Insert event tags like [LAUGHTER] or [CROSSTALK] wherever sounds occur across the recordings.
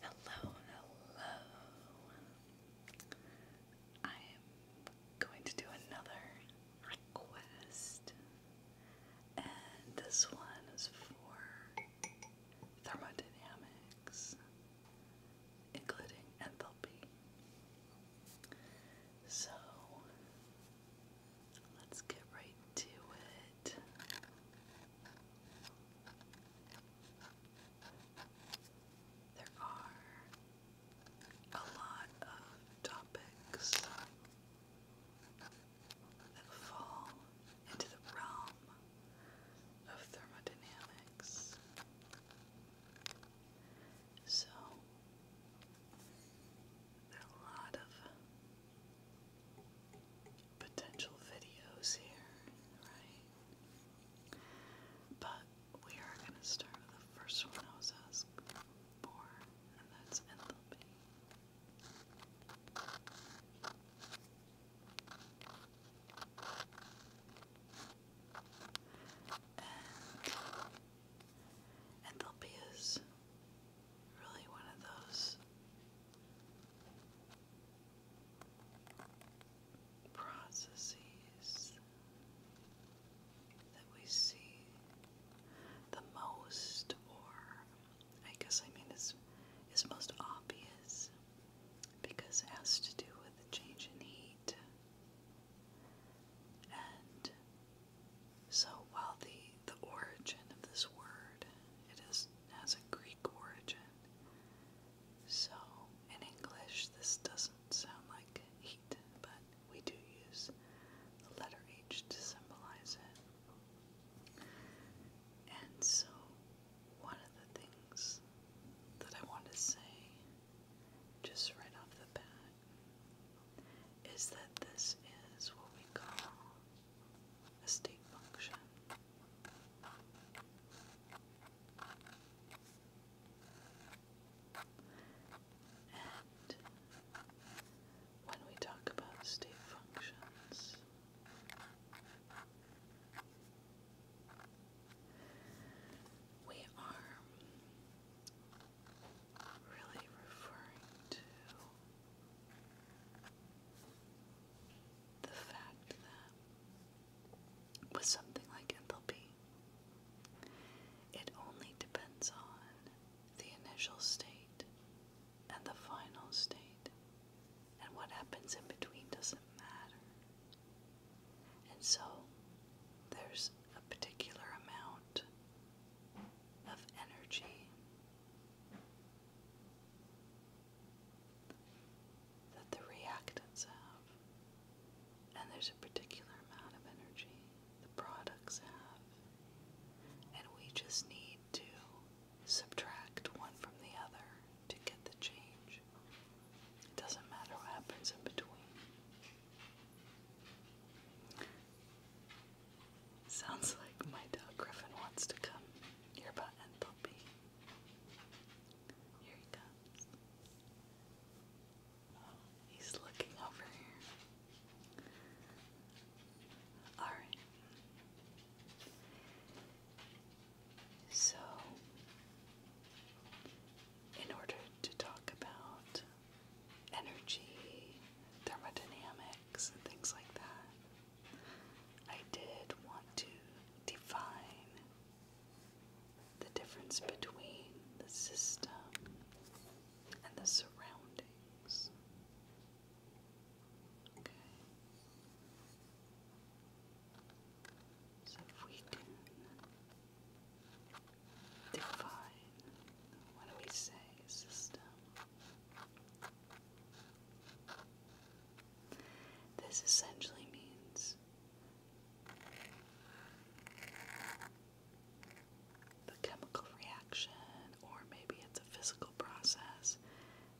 Hello, hello. I am going to do another request, and this one is for thermodynamics, including enthalpy. So let's get right to there are a lot of topics that fall into the realm of thermodynamics. So, there are a lot of potential videos here, right? But we are going to start with the first one I was asked for, and that's enthalpy. And is really one of those processes that we see the most, or I guess I mean it's is most obvious because it has to do with the change in heat. And so while the the origin of this word it is has a Greek origin. So, in English, this doesn't sound like heat, but we do use the letter H to symbolize it. And so, one of the things that I want to say just right off the bat is that this is what we call a state function. And when we talk about state functions, we are really referring to the fact that with something like enthalpy, it only depends on the initial state and the final state, and what happens in between doesn't matter. And so there's a particular amount of energy that the reactants have, and there's a particular amount of energy the products have, and we just need to subtract one from the other to get the change. It doesn't matter what happens in between. Sounds like my dog Griffin wants to come nearby and pull Here he comes. Oh, he's looking over here. Alright. So, in order to talk about energy, thermodynamics, and things like that, I did want to define the difference between the system and the surroundings. Okay. So if we define, what do we say, system this essentially means the chemical reaction, or maybe it's a physical process,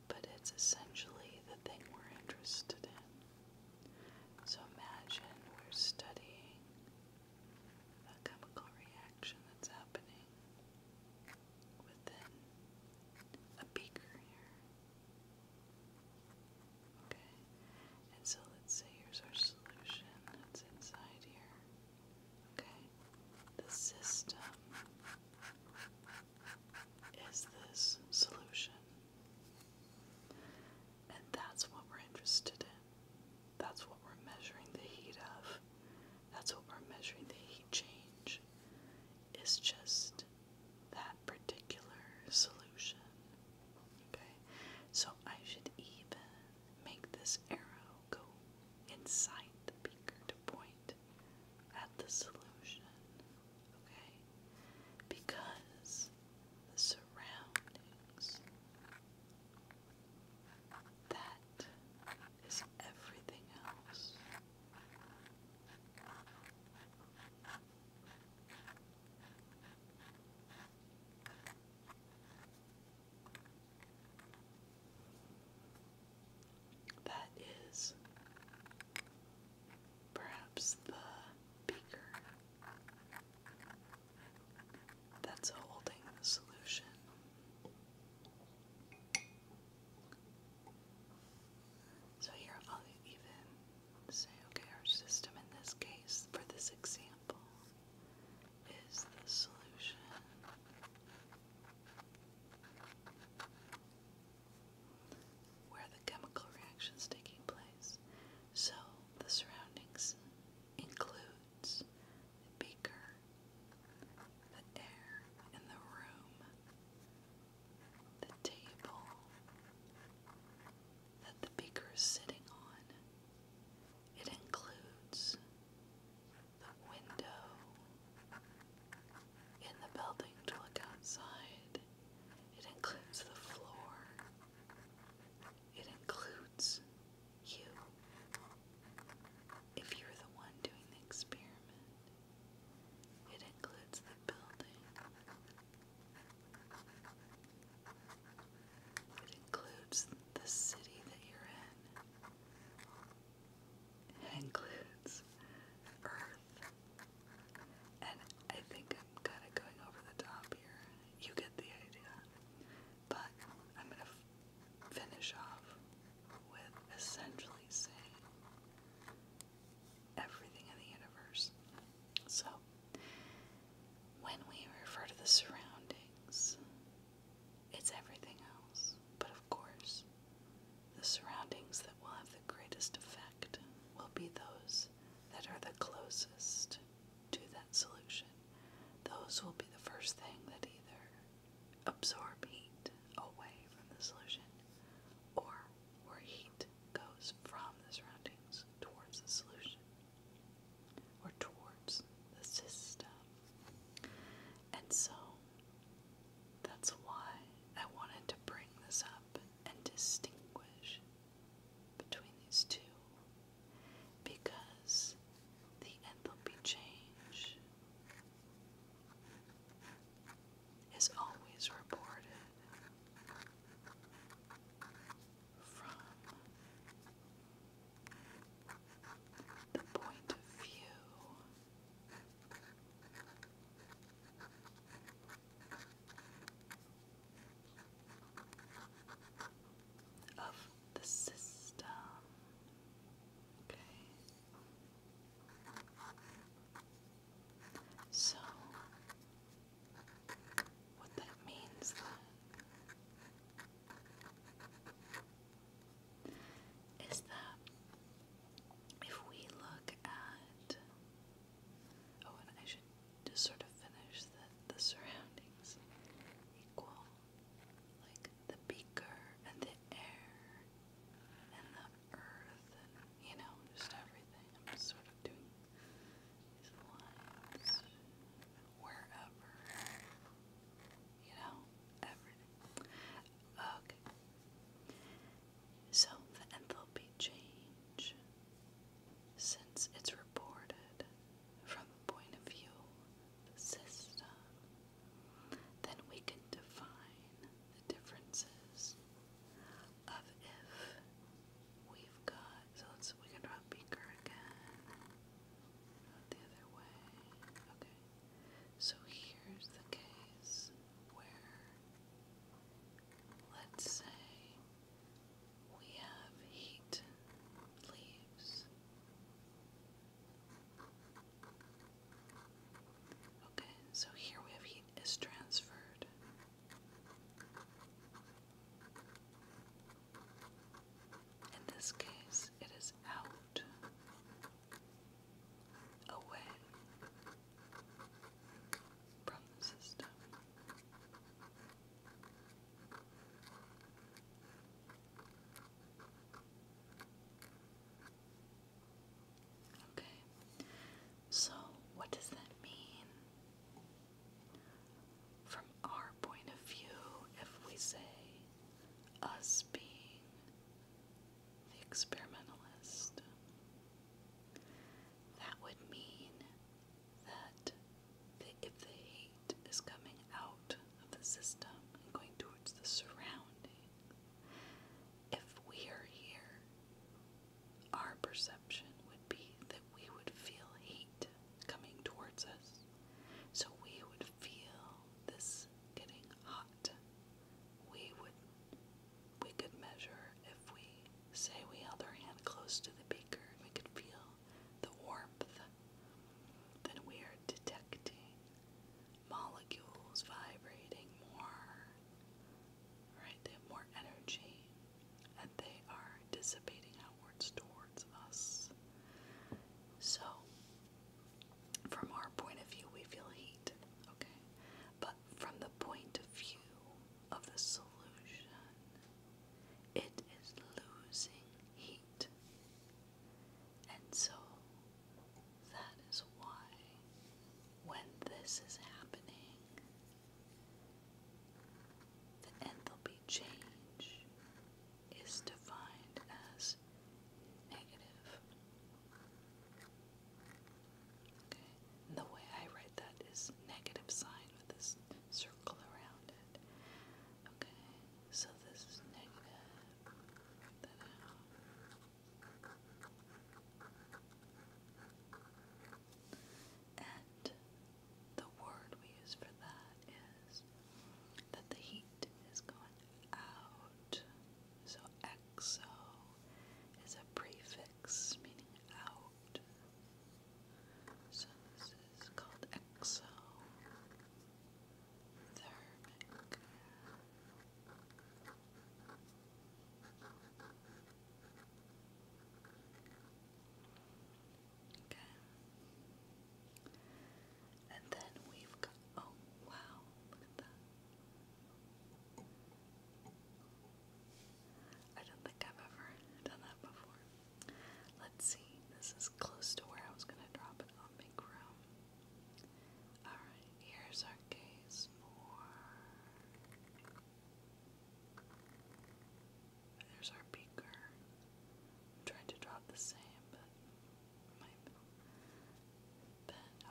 but it's essentially the thing we're interested in. So imagine we're studying a chemical reaction that's happening within a beaker here. Okay, and so let's say here's our solution that's inside here. Okay, the system is this solution. And that's what we're interested in. That's what we're measuring the heat of. That's what we're measuring the heat change. Is just that particular solution. Okay, so I should even make this arrow go inside the beaker to point at the solution. Okay, because the surroundings. That is everything else. That is perhaps the beaker that's holding the solution. So here I'll even say, okay, our system in this case, for this example, is the solution where the chemical reaction is taking place. So the surroundings includes the beaker, the air in the room, the table that the beaker is sitting on. It includes the window in the building to look outside. It includes the floor. It includes you. If you're the one doing the experiment, it includes the building. It includes the city that you're in. It includes Earth. And I think I'm kind of going over the top here. You get the idea. But I'm going to finish off with essentially saying everything in the universe. So, when we refer to the surroundings, it's everything else. But of course, the surroundings that will have the greatest effect will be those that are the closest to that solution. Those will be the first thing that either absorb heat away from the solution, or where heat goes from the surroundings towards the solution or towards the system. And so that's why I wanted to bring this up and distinguish between these two because the enthalpy change is always reported from the point of view of the system. Okay. So, what that means then is that if we look at oh, and I should just sort of finish the, the surroundings equal like the beaker and the air and the earth and, you know, just everything. I'm just sort of doing lines wherever, you know, everything. Okay. So, the enthalpy change, since it's reported from the point of view, the system, then we can define the differences of if we've got, so let's, we can draw a beaker again, the other way, okay, so here's the case where, let's say, we have heat leaves. Okay, so here we have heat is transferred. In this case, it is out, away from the system. Okay, so what does that mean? From our point of view, if we say us being the experimentalist, that would mean that if the heat is coming out of the system and going towards the surrounding, if we are here, our perception would be that we would feel heat coming towards us. So we would feel this getting hot. We would we could measure if we say we held our hand close to the beaker, we could feel the warmth. Then we are detecting molecules vibrating more, right? They have more energy and they are dissipating outwards towards us. So, from our point of view, we feel heat, okay? But from the point of view of the solution, it is losing heat. And so that is why, when this is happening, the enthalpy change is defined as negative. Okay, the way I write that is negative sign with this circle around it. Okay, so this is negative. And the word we use for that is that the heat is going out. So exo is a prefix meaning out. So this is called exothermic. Okay. And then we've got oh wow, look at that. I don't think I've ever done that before. Let's see, this is close to where I was gonna drop it on big Alright, here's our case more. There's our beaker. trying to draw the same, but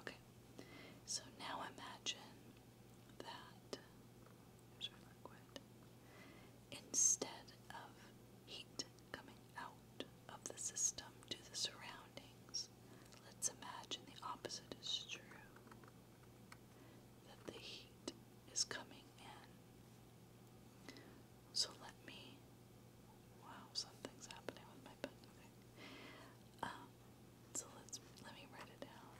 Okay. So now imagine that Instead of heat coming out of the system to the surroundings, Let's imagine the opposite is true that the heat is coming in. So let me. Wow, something's happening with my pen. Okay. Um, so let's let me write it down.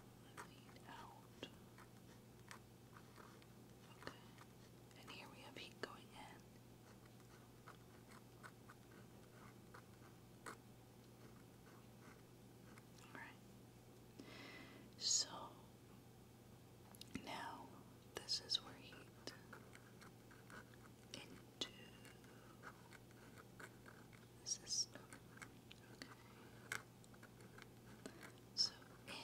Let out. Okay. And here we have heat going in. Alright. So now this is where heat into system. So in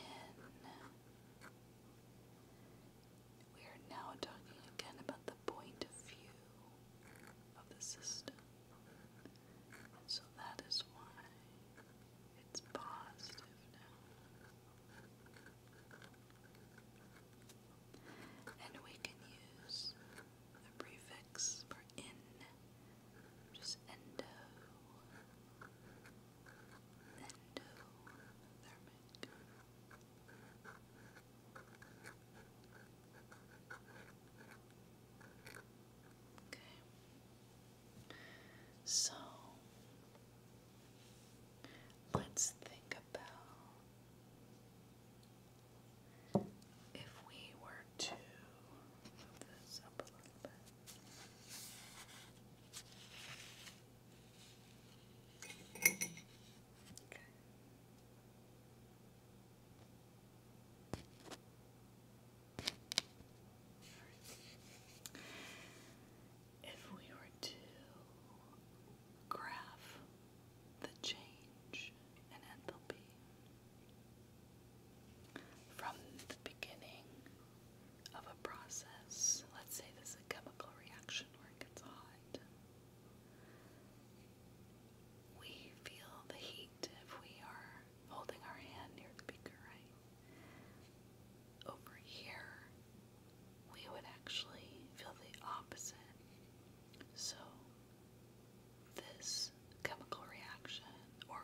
we are now talking again about the point of view of the system. So that is why it's positive now. And we can use the prefix for in, which endo, endothermic. Okay. So let's think about if we were to move this up a little bit. Okay. If we were to graph the change in enthalpy from the beginning of a process, let's say this is a chemical reaction where it gets hot, we feel the heat if we are holding our hand near the beaker, right? Over here, we would actually feel the opposite. So, this chemical reaction or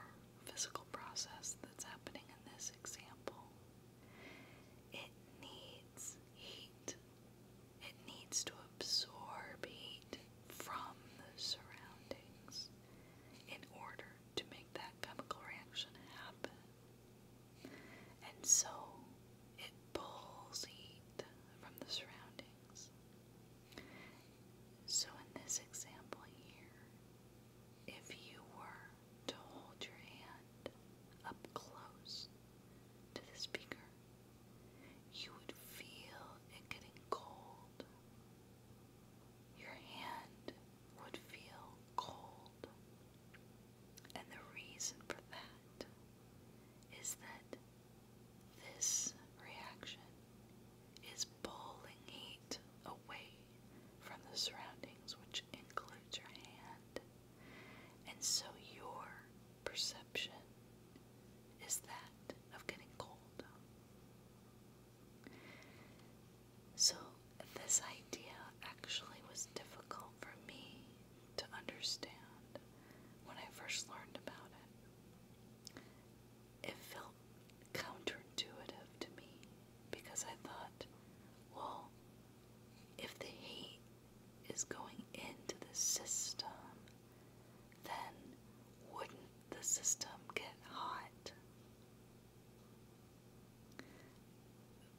physical process that's happening in this example, it needs heat it needs to absorb heat from the surroundings in order to make that chemical reaction happen. And so it pulls heat from the surroundings. So, in this example here, if you were to hold your hand up close to the speaker you would feel it getting cold. Your hand would feel cold. And the reason for that is that this reaction is pulling heat away from the surroundings, which includes your hand. And so your perception is that of getting cold. So, this idea actually was difficult for me to understand when I first learned about it. It felt counterintuitive to me because I thought, well, if the heat is going into the system then wouldn't the system get hot?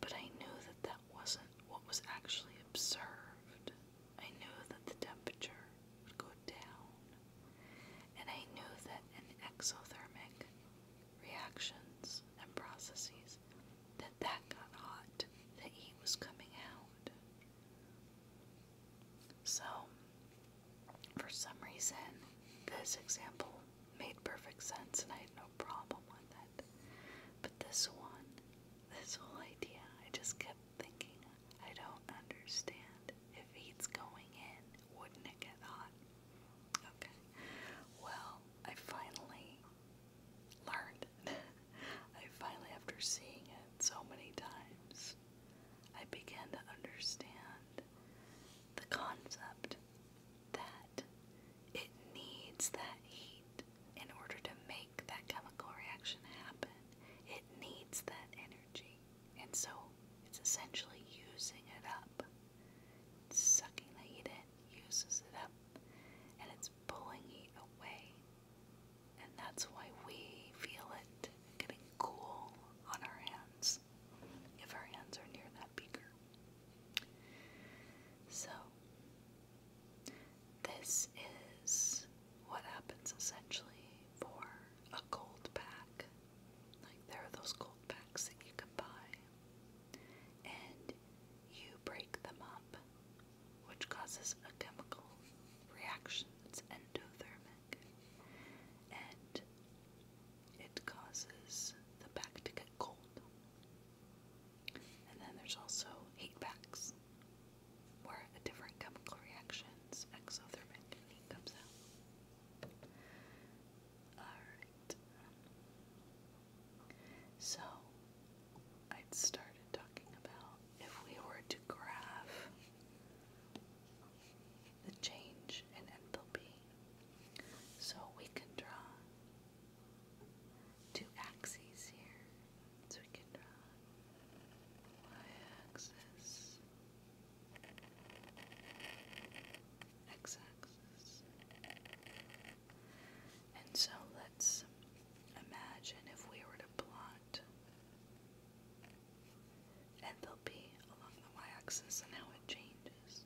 But I knew that that wasn't what was actually observed. I knew that the temperature would go down, and I knew that in exothermic reactions and processes that that got hot, that heat was coming out. So, for some reason, this example made perfect sense and I had no problem with that. But this one, this whole idea, I just kept thinking, I don't understand. If heat's going in, wouldn't it get hot? Okay. Well, I finally learned [LAUGHS] [LAUGHS] I finally, after seeing it so many times, I began to understand the concept that it needs that heat in order to make that chemical reaction happen. It needs that energy. And so it's essentially using it up. sucking the heat in, uses it up, and it's pulling heat away and that's why we feel it getting cool on our hands if our hands are near that beaker. So, this is what happens essentially for a gold pack. Like, there are those gold packs that you can buy, and you break them up which causes a chemical reaction that's endothermic and it causes the back to get cold. And then there's also heat backs, where a different chemical reaction, exothermic comes out. So I'd started talking about if we were to graph the change in enthalpy, so we can draw two axes here. So we can draw y-axis, x-axis, and so let's imagine if we were to plot that. along the y axis and how it changes.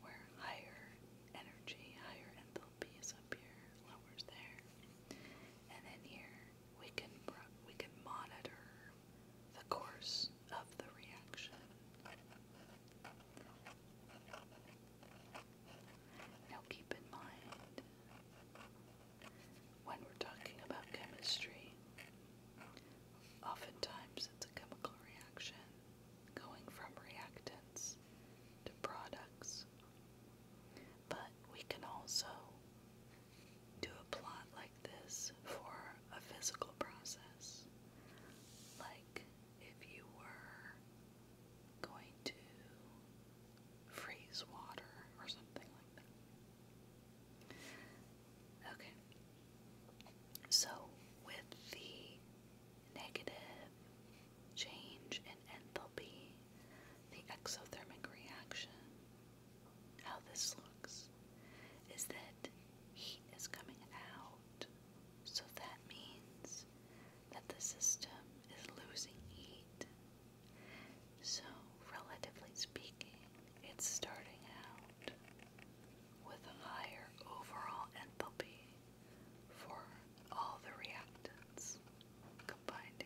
Where higher energy, higher enthalpy is up here, lower's there. And then here we can we can monitor the course of the reaction. Now keep in mind when we're talking about chemistry, oftentimes it's a chemical reaction going from reactants to products. But we can also do a plot like this for a physical process. Like if you were going to freeze water or something like that. Okay. So, with the negative change in enthalpy, the exothermic reaction, how this looks is that heat is coming out. So that means that the system is losing heat so, relatively speaking, it's starting out with a higher overall enthalpy for all the reactants combined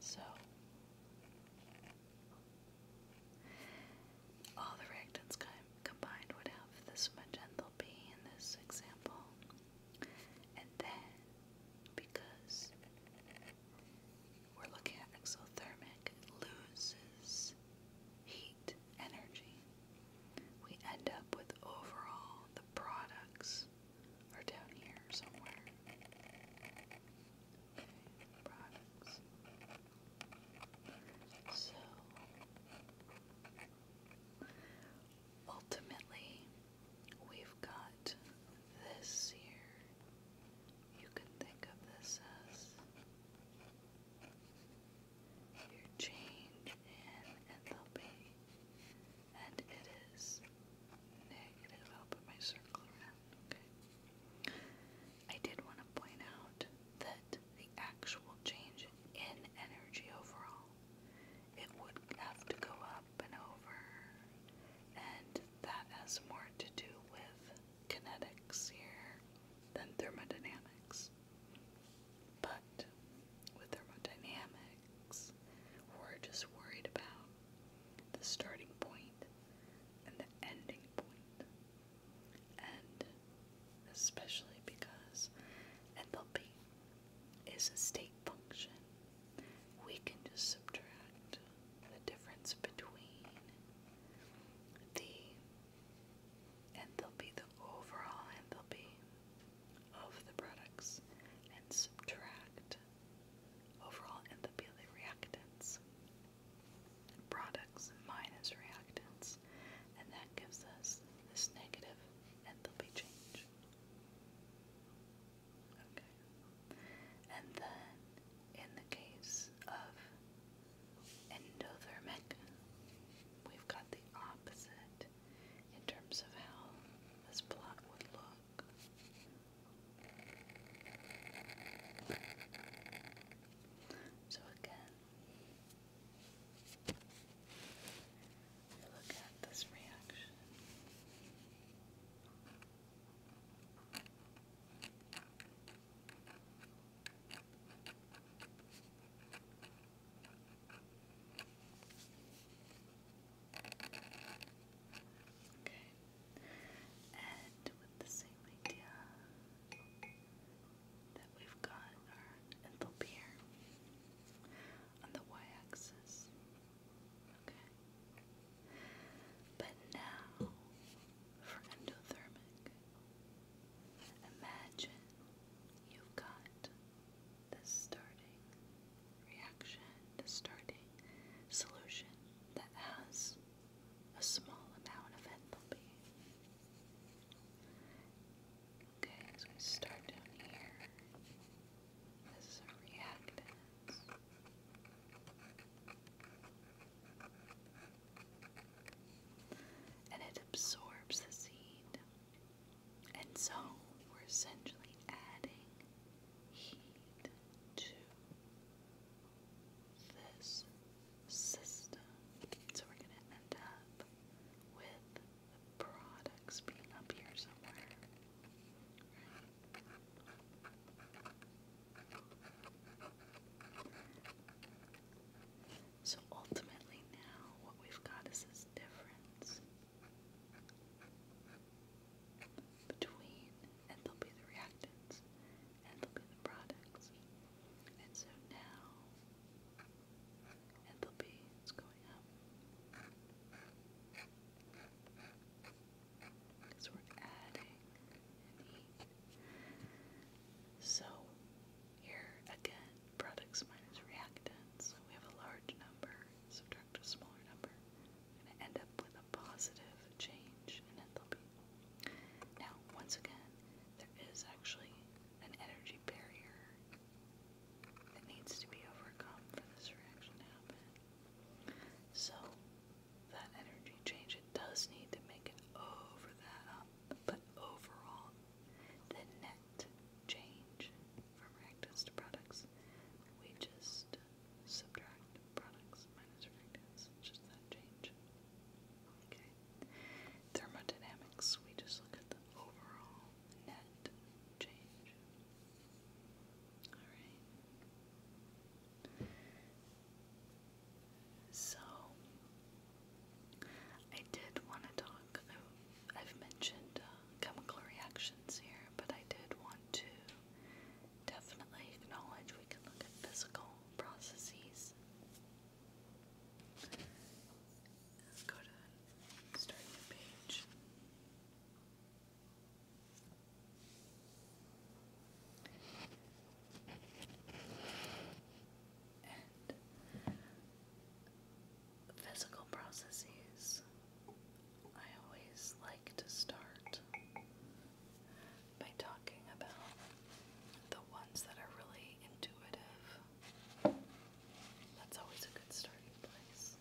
So, all the reactants combined would have this much enthalpy in this example, and then, because we're looking at exothermic, loses heat energy. We end up with overall the products are down here somewhere. products. So Ultimately, we've got this here. You can think of this as your change in enthalpy, and it is negative. I'll put my circle around, okay? I did want to point out that the actual change in energy overall it would have to go up and over, and that has more to do with kinetics here than thermodynamics. But with thermodynamics, we're just worried about the starting point and the ending point. And especially because enthalpy is a state function. We can just subtract the difference between the, and they will be the overall, and there'll be of the products, and subtract overall, and there'll be the reactants. Products minus reactants, and that gives us this negative, and there'll be change. Okay. And then in the case of endothermic, we've got the opposite in terms of how this plot would look. So again, Look at this reaction. Okay, and with the same idea that we've got our envelope here, on the y-axis. Okay. But now for endothermic. Imagine you've got the starting reaction, the starting solution that has a small amount of enthalpy. Okay, so we start down here. This is our reactants. And it absorbs the seed. And so we're essentially adding heat to this system. So we're going to end up with products being up here somewhere. So ultimately, now what we've got is this difference between enthalpy and the reactants, enthalpy and the products. And so now and is going up. Because we're adding an So here again, products minus reactants. We have a large number, subtract a smaller number. We're going to end up with a positive change in enthalpy. Now, once again, there is actually an energy barrier that needs to be overcome for this reaction to happen. So that energy change, it does need to make it over that but overall, the net change from reactants to products, we just subtract products minus reactants, just that change. Okay. Thermodynamics, we just look at the overall net change. Alright. So, I did want to talk. I've mentioned uh, chemical reactions here, but I did want to definitely acknowledge we can look at physical processes. Let's go to start new page physical processes, I always like to start by talking about the ones that are really intuitive. That's always a good starting place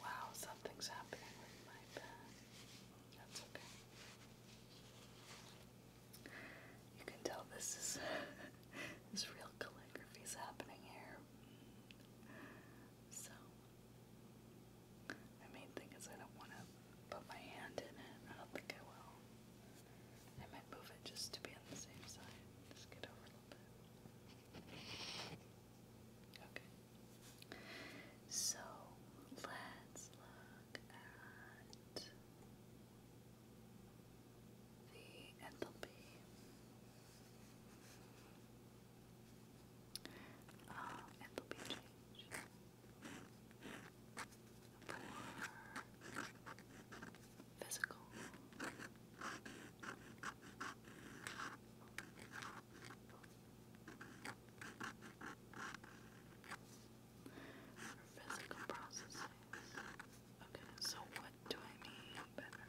wow, something's happening with my pen. That's okay. You can tell this is [LAUGHS] this real calligraphy is happening here. So my main thing is I don't want to put my hand in it. I don't think I will. I might move it just to be on the same side. Just get over little bit. Okay. So let's look at the enthalpy. Um, enthalpy change for physical. physical processes. Okay, so what do I mean better?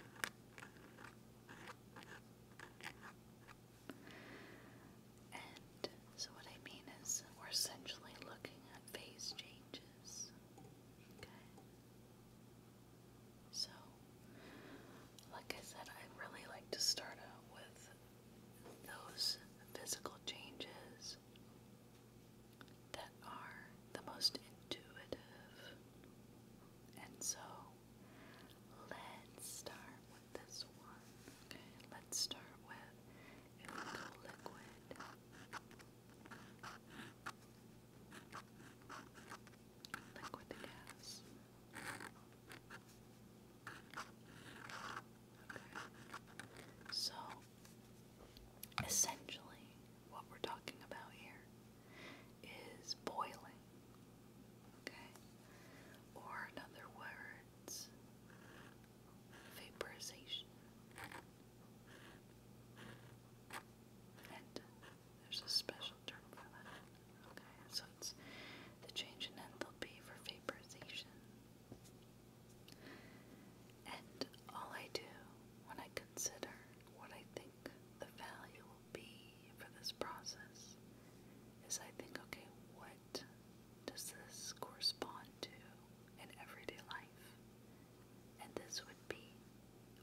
And so what I mean is we're essentially looking at phase changes. Okay. So, like I said, I really like to start out with those physical changes that are the most intuitive. And so, let's start with this one. let's start with Liquid liquid gas. Okay. So, essentially, what we're talking about here is boiling. Okay? Or, in other vaporization. And there's a special term for that. Okay, so it's the change in enthalpy for vaporization. And all I do when I consider what I think the value will be for this process is I think, okay, what does this correspond to in everyday life? And this would be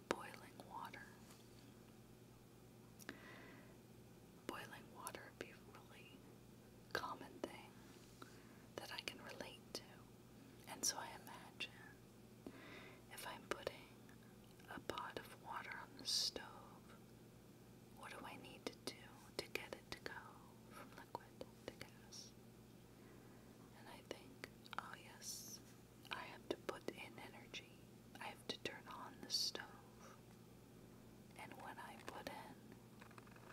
boiling water. Boiling water would be really common thing that I can relate to. And so I imagine if I'm putting a pot of water on the stove, what do I need to do to get it to go from liquid to gas? And I think, oh yes, I have to put in energy. I have to turn on the stove. And when I put in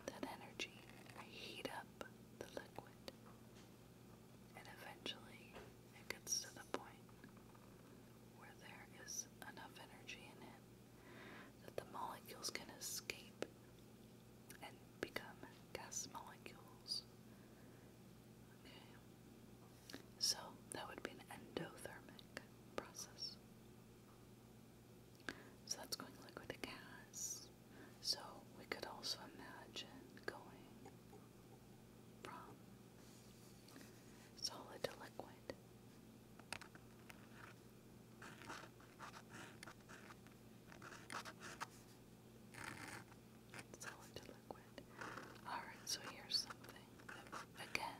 that energy, I heat up the liquid. And eventually, it gets to the point where there is enough energy in it that the molecules can escape and become gas molecules Okay. So that would be an endothermic process. So that's going liquid to gas. So we could also imagine going from solid to liquid solid to liquid. Alright, so here's something again,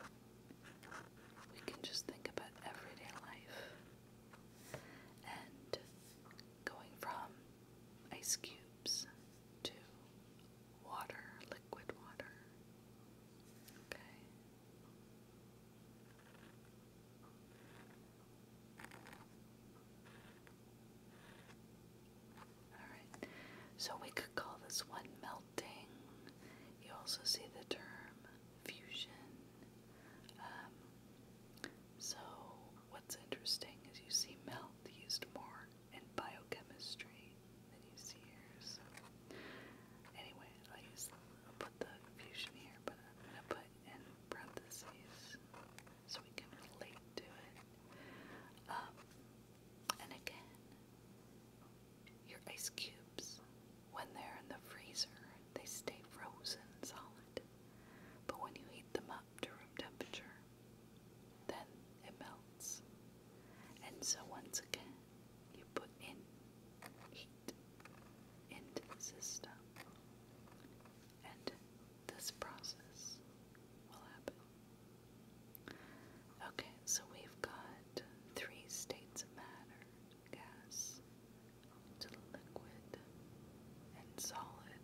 we can just think about everyday life and going from ice cubes to water, liquid water. Okay. Alright, so we could call this one melting. You also see the term fusion. Um, so, what's interesting is you see melt used more in biochemistry than you see here. So, anyway, I use, I'll put the fusion here, but I'm going to put in parentheses so we can relate to it. Um, and again, your ice cubes, when they're in the freezer, they stay frozen solid. But when you heat them up to room temperature, then it melts. And so once again, you put in heat into the system and this process will happen. Okay, so we've got three states of matter gas to liquid and solid.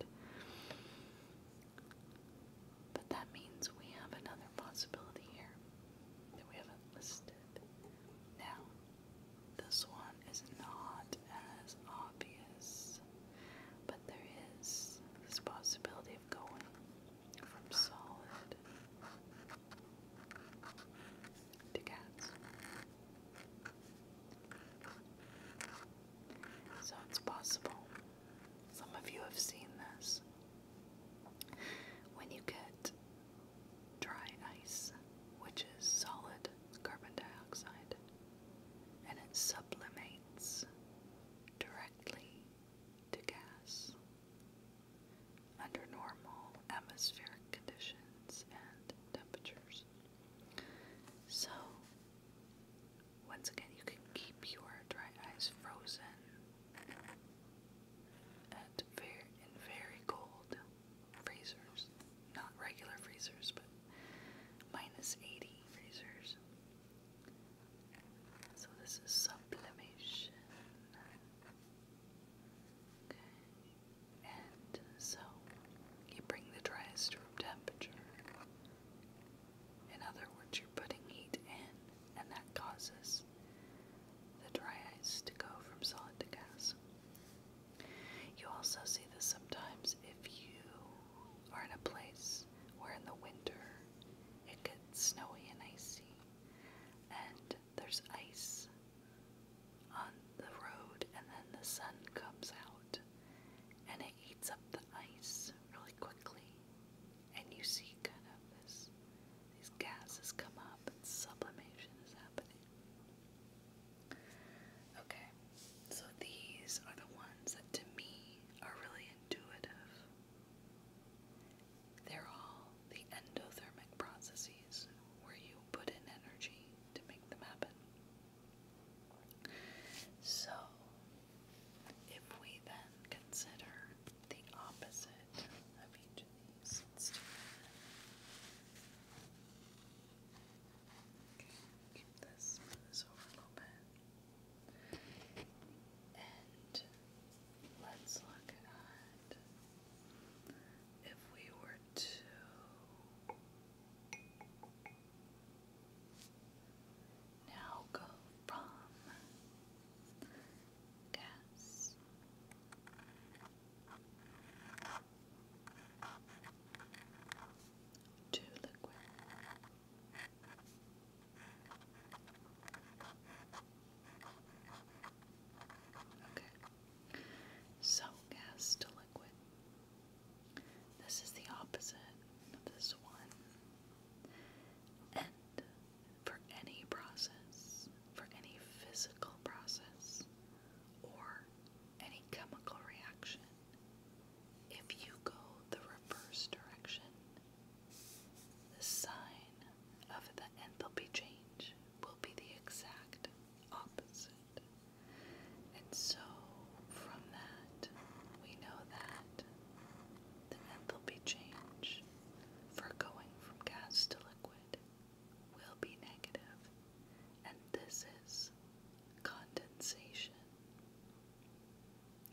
But that means we have another possibility here that we haven't listed. Now, this one is not as obvious but there is this possibility of going from solid to gas. So it's possible. Some of you have seen this. When you get dry ice, which is solid carbon dioxide, and it sublimates directly to gas under normal atmospheric conditions and temperatures. So, once again, you can keep your dry ice frozen at very, in very cold freezers. Not regular freezers, but minus 80 freezers. So this is sublimation. Okay. And so you bring the dries to room temperature. In other words, you're putting heat in, and that causes the dry ice to go from solid to gas. You also see this sometimes if you are in a place where in the winter. It gets snowy and icy, and there's ice on the road, and then the sun comes out and it eats up the ice really quickly. And you see kind of this these gases come up and sublimation is happening. Okay, so these are the ones that to me are really intuitive. They're all the endothermic processes where you put in energy to make them happen. So, if we then consider the opposite of each of these, Okay, keep this over a little bit. And let's look at if we were to now go from gas to liquid. So gas to liquid. This is the opposite of this one. And for any process, for any physical process, or any chemical reaction, if you go the reverse direction, the sign of the enthalpy change will be the exact opposite. And so, from that, we know that the enthalpy change for going from gas to liquid will be negative, and this is condensation.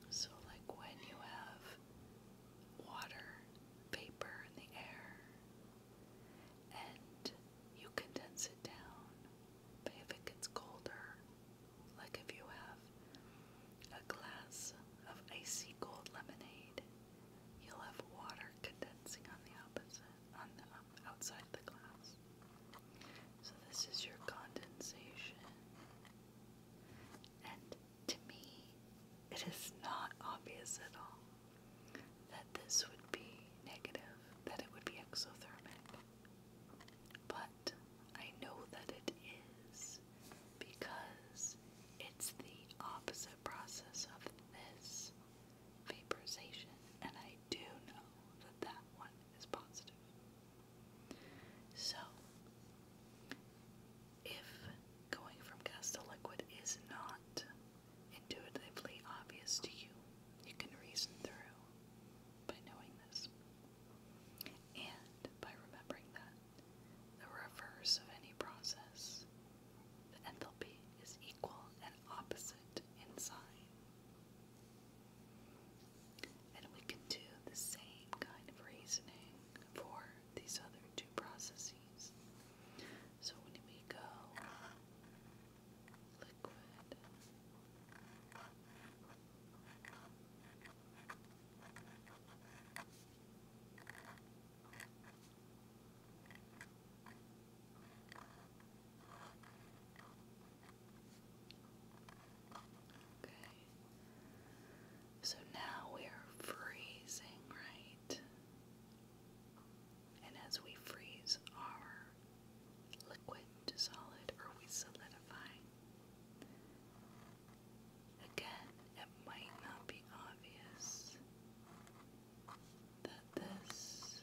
So, like when you have water, vapor in the air, and you condense it down, but if it gets colder, like if you have a glass of icy cold lemonade, you'll have water condensing on the opposite, on the um, outside of the glass. So this is your condensation. And to me, it is not obvious at all that this would be negative, that it would be exothermic. But I know that it is because it's the opposite process of this vaporization, and I do know that that one is positive. So, if going from gas to liquid is not intuitively obvious to you, you can reason through by knowing this. And by remembering that the reverse of any process, the enthalpy is equal and opposite in sign. And we can do the same kind of reasoning for these other two processes. So when we go liquid Okay, so now we are freezing, right? And as we freeze our liquid to solid, or we solidify, again, it might not be obvious that this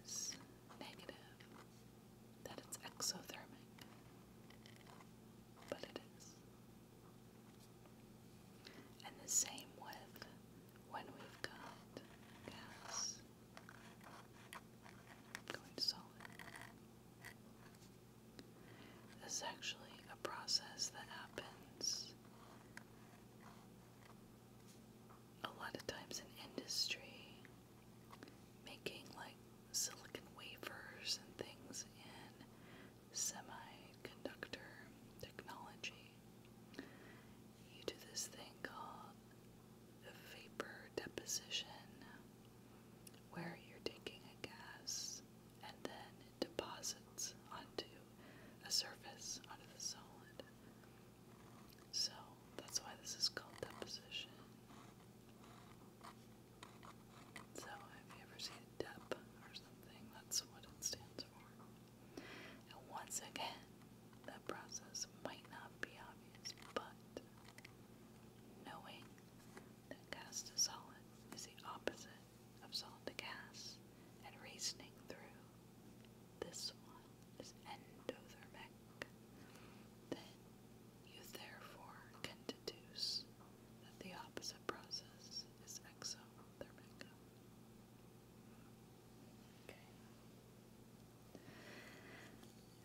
is negative that it's exothermic, but it is. And the same with when we've got gas going solid. This is actually a process that happens a lot of times in industry making like silicon wafers and things in semiconductor technology. You do this thing called vapor deposition, where you're taking a gas and then it deposits onto a surface, onto the solid. So that's why this is called deposition. So if you ever see a DEP or something, that's what it stands for. And once again, that process might not be obvious, but knowing that gas to solid is the opposite of solid to gas and reasoning through this one is endothermic, then you therefore can deduce that the opposite process is exothermic.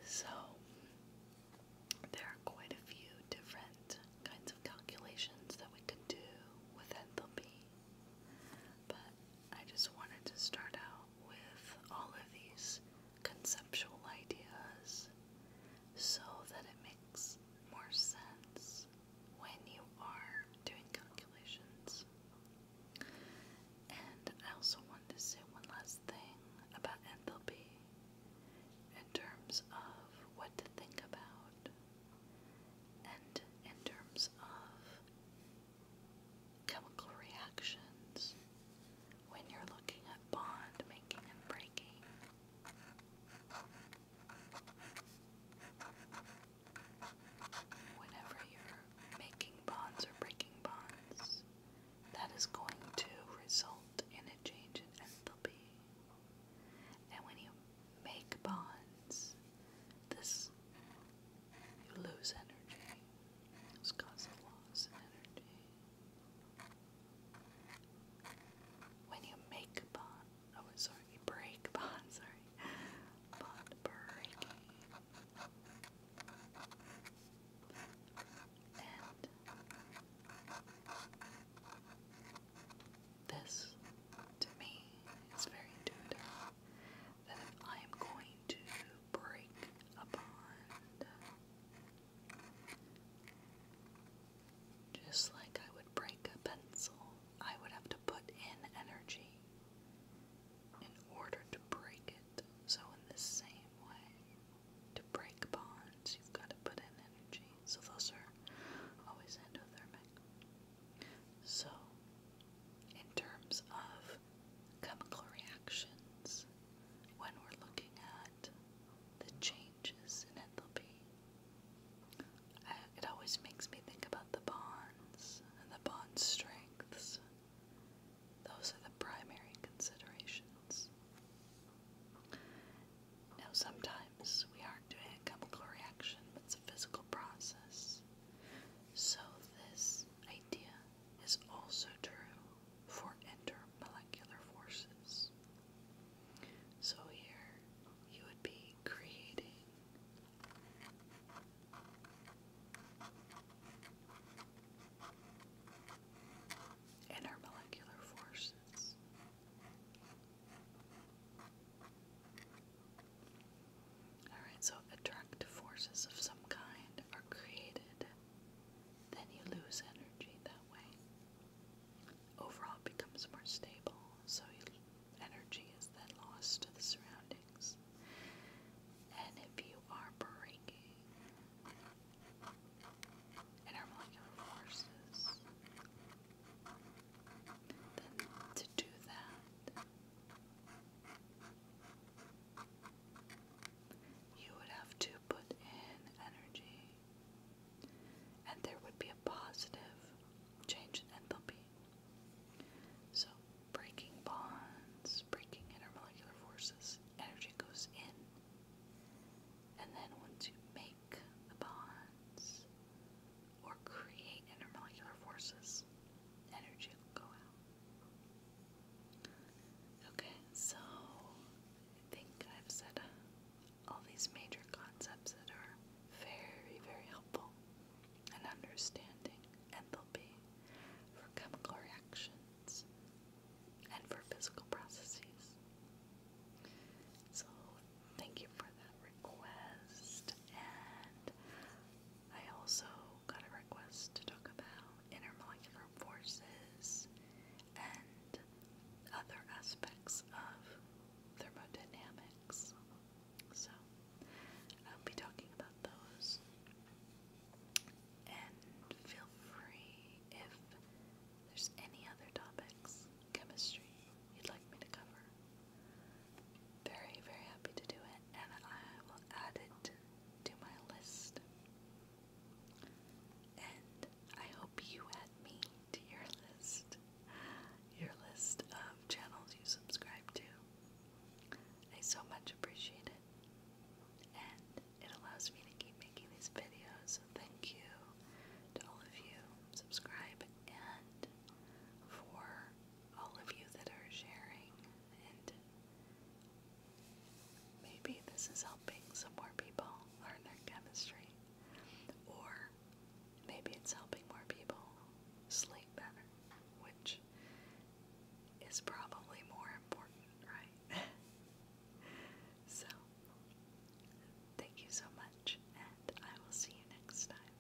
So, there are quite a few different kinds of calculations that we can do with enthalpy, but I just wanted to start out with all of these conceptual ideas so that it makes more sense when you are doing calculations. And I also want to say one last thing about enthalpy in terms of what to think about and in terms of chemical reactions when you're looking at bond making and breaking. Whenever you're making bonds or breaking bonds, that is going to result in a change in enthalpy. And when you make bonds, this you lose energy. It's cause loss of energy. When you make a bond, oh sorry, you break bond, [LAUGHS] sorry, bond breaking, and this to me is very intuitive that I am going to break a bond. Just like I would break a pencil, I would have to put in energy in order to break it. So, in the same way, to break bonds, you've got to put in energy. So, those are always endothermic. So, in terms of chemical reactions when we're looking at the changes in enthalpy. it always makes me think about the bonds and the bond strengths. Those are the primary considerations. Now, sometimes we aren't doing a chemical reaction, but it's a physical process. So, this idea is also true for intermolecular forces. So here you would be creating intermolecular forces. Alright, so attractive forces of some kind are created then you lose energy that way. Overall, becomes more stable, so energy is then lost to the surroundings. And if you are breaking intermolecular forces, then to do that, you would have to put in energy, and there would be a positive change in enthalpy. So, breaking bonds, breaking intermolecular forces, energy goes in, and then once you make the bonds or create intermolecular forces, energy will go out. Okay, so I think I've said uh, all these major concepts that are very, very helpful in understanding enthalpy for chemical reactions and for physical processes. So, thank you for that request. And I also got a request to talk about intermolecular forces and other aspects of thermodynamics. So, I'll be talking about those. And feel free if there's any other topics, chemistry, you'd like me to cover. Very, very happy to do it, and I will add it to my list. And I hope you add me to your list, your list of channels you subscribe to. I so much appreciate it, and it allows me to keep making these videos. So, thank you to all of you, subscribe, and for all of you that are sharing and Maybe this is helping some more people learn their chemistry, or maybe it's helping more people sleep better, which is probably more important, right? [LAUGHS] so, thank you so much, and I will see you next time.